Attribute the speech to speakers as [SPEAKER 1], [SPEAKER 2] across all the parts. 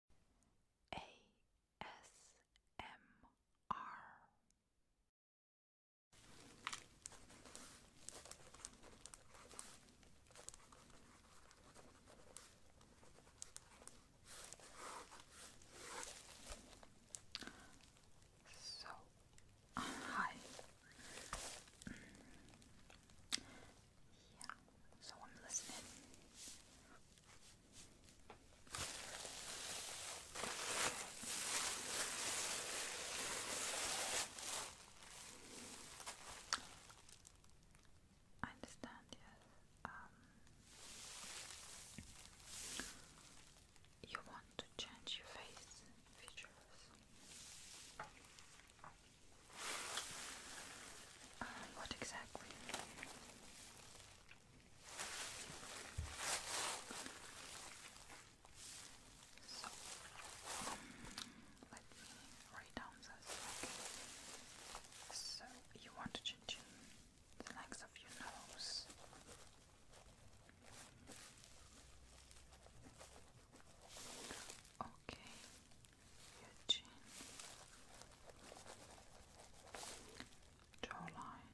[SPEAKER 1] ASMR. So, hi. Yeah, someone's listening. I understand, yes. Um, you want to change your face features. Um, what exactly? So, um, let me write down this. So, you want to change the length of your nose. Okay, your chin, jawline,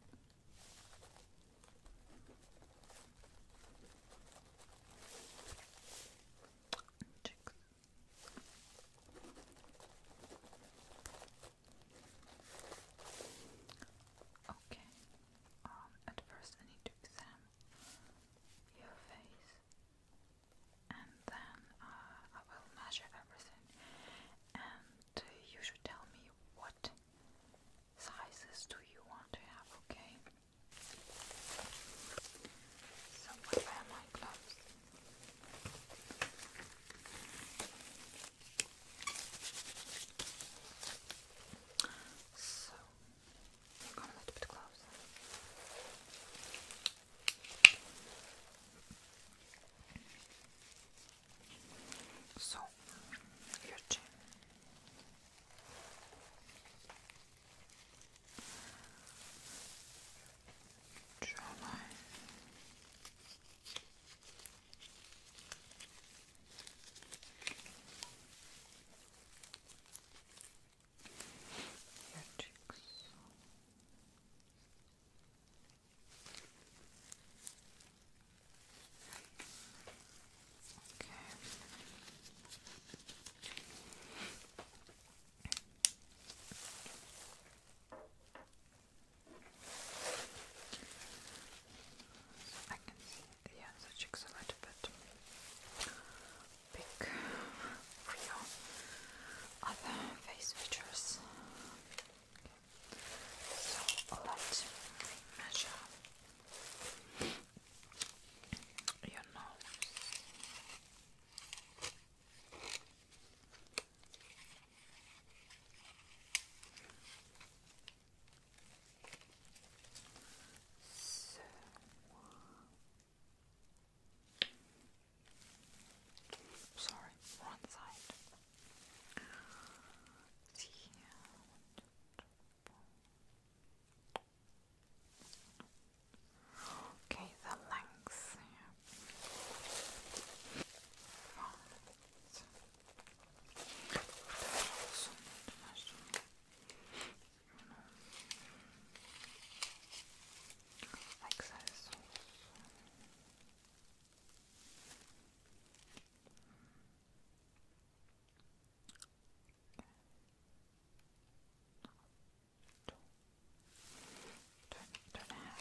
[SPEAKER 1] cheeks. Okay. Um, at first, I need to examine your face and then uh, I will measure everything and uh, you should tell me what sizes do you want to have, okay? So I wear my gloves. So Come a little bit closer. So, your chin. Jawline your cheeks. I can see yeah, the cheeks a little bit big for your other face features. So let's measure your nose. So sorry, one side. See Okay, the length. Excess sauce. Don't, don't have.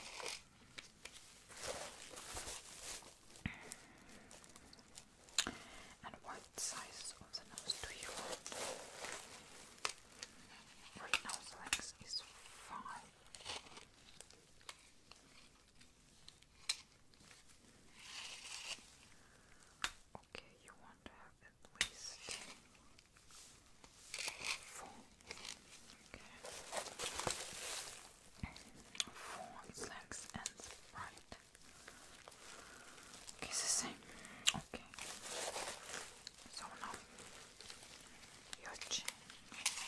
[SPEAKER 1] And what size of the nose do you want? Your nose length is five. Okay, you want to have at least four. Okay. Four snacks and Sprite. Okay, it's the same. Okay. So now your chin. Oh,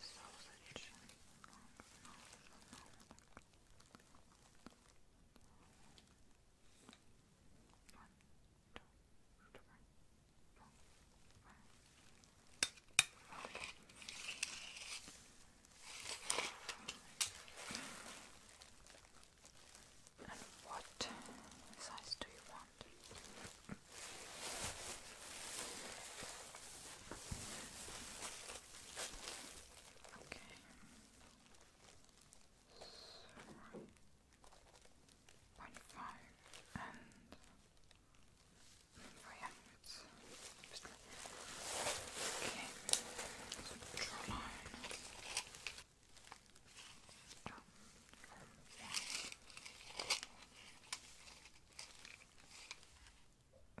[SPEAKER 1] Sausage. Okay. And what size do you want? Okay. So, point five and okay. So line.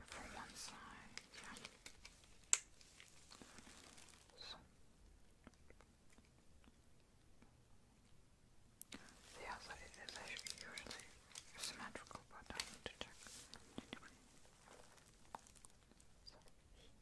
[SPEAKER 1] From one side, yeah. The other is usually symmetrical, but I need to check.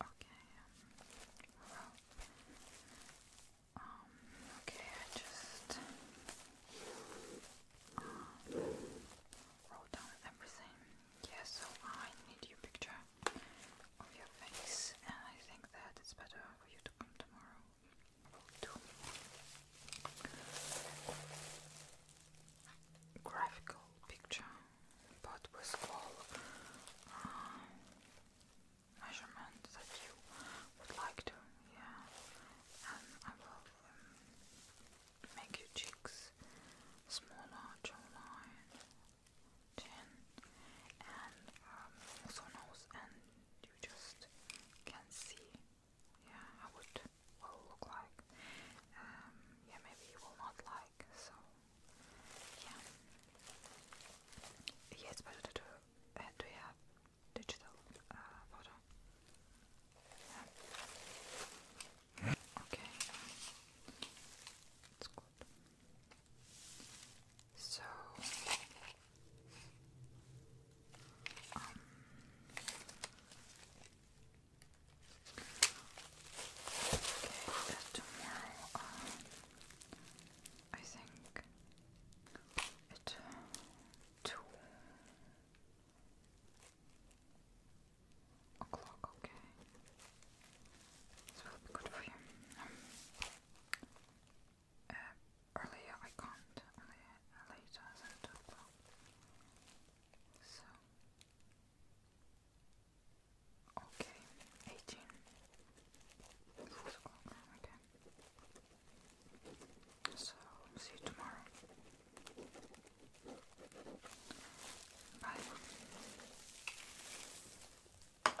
[SPEAKER 1] Okay. Well, um, um, okay, I just uh, wrote down everything. Yeah, so I need your picture of your face, and I think that it's better for you to come tomorrow graphical picture, but with all uh, measurements that you would like to, yeah. And I will um, make your cheeks smaller, jawline, chin, and also um, nose, and you just can see yeah, how it will look like. Um, yeah, maybe you will not like, so yeah. Yeah, it's do, uh, do you have digital uh, Okay, it's good. So, um, Okay, tomorrow, um, I think at two o'clock. Okay, this will be good for you. Um, uh, earlier I can't later as I talk So, okay, 18. Okay. So, see you tomorrow. Bye.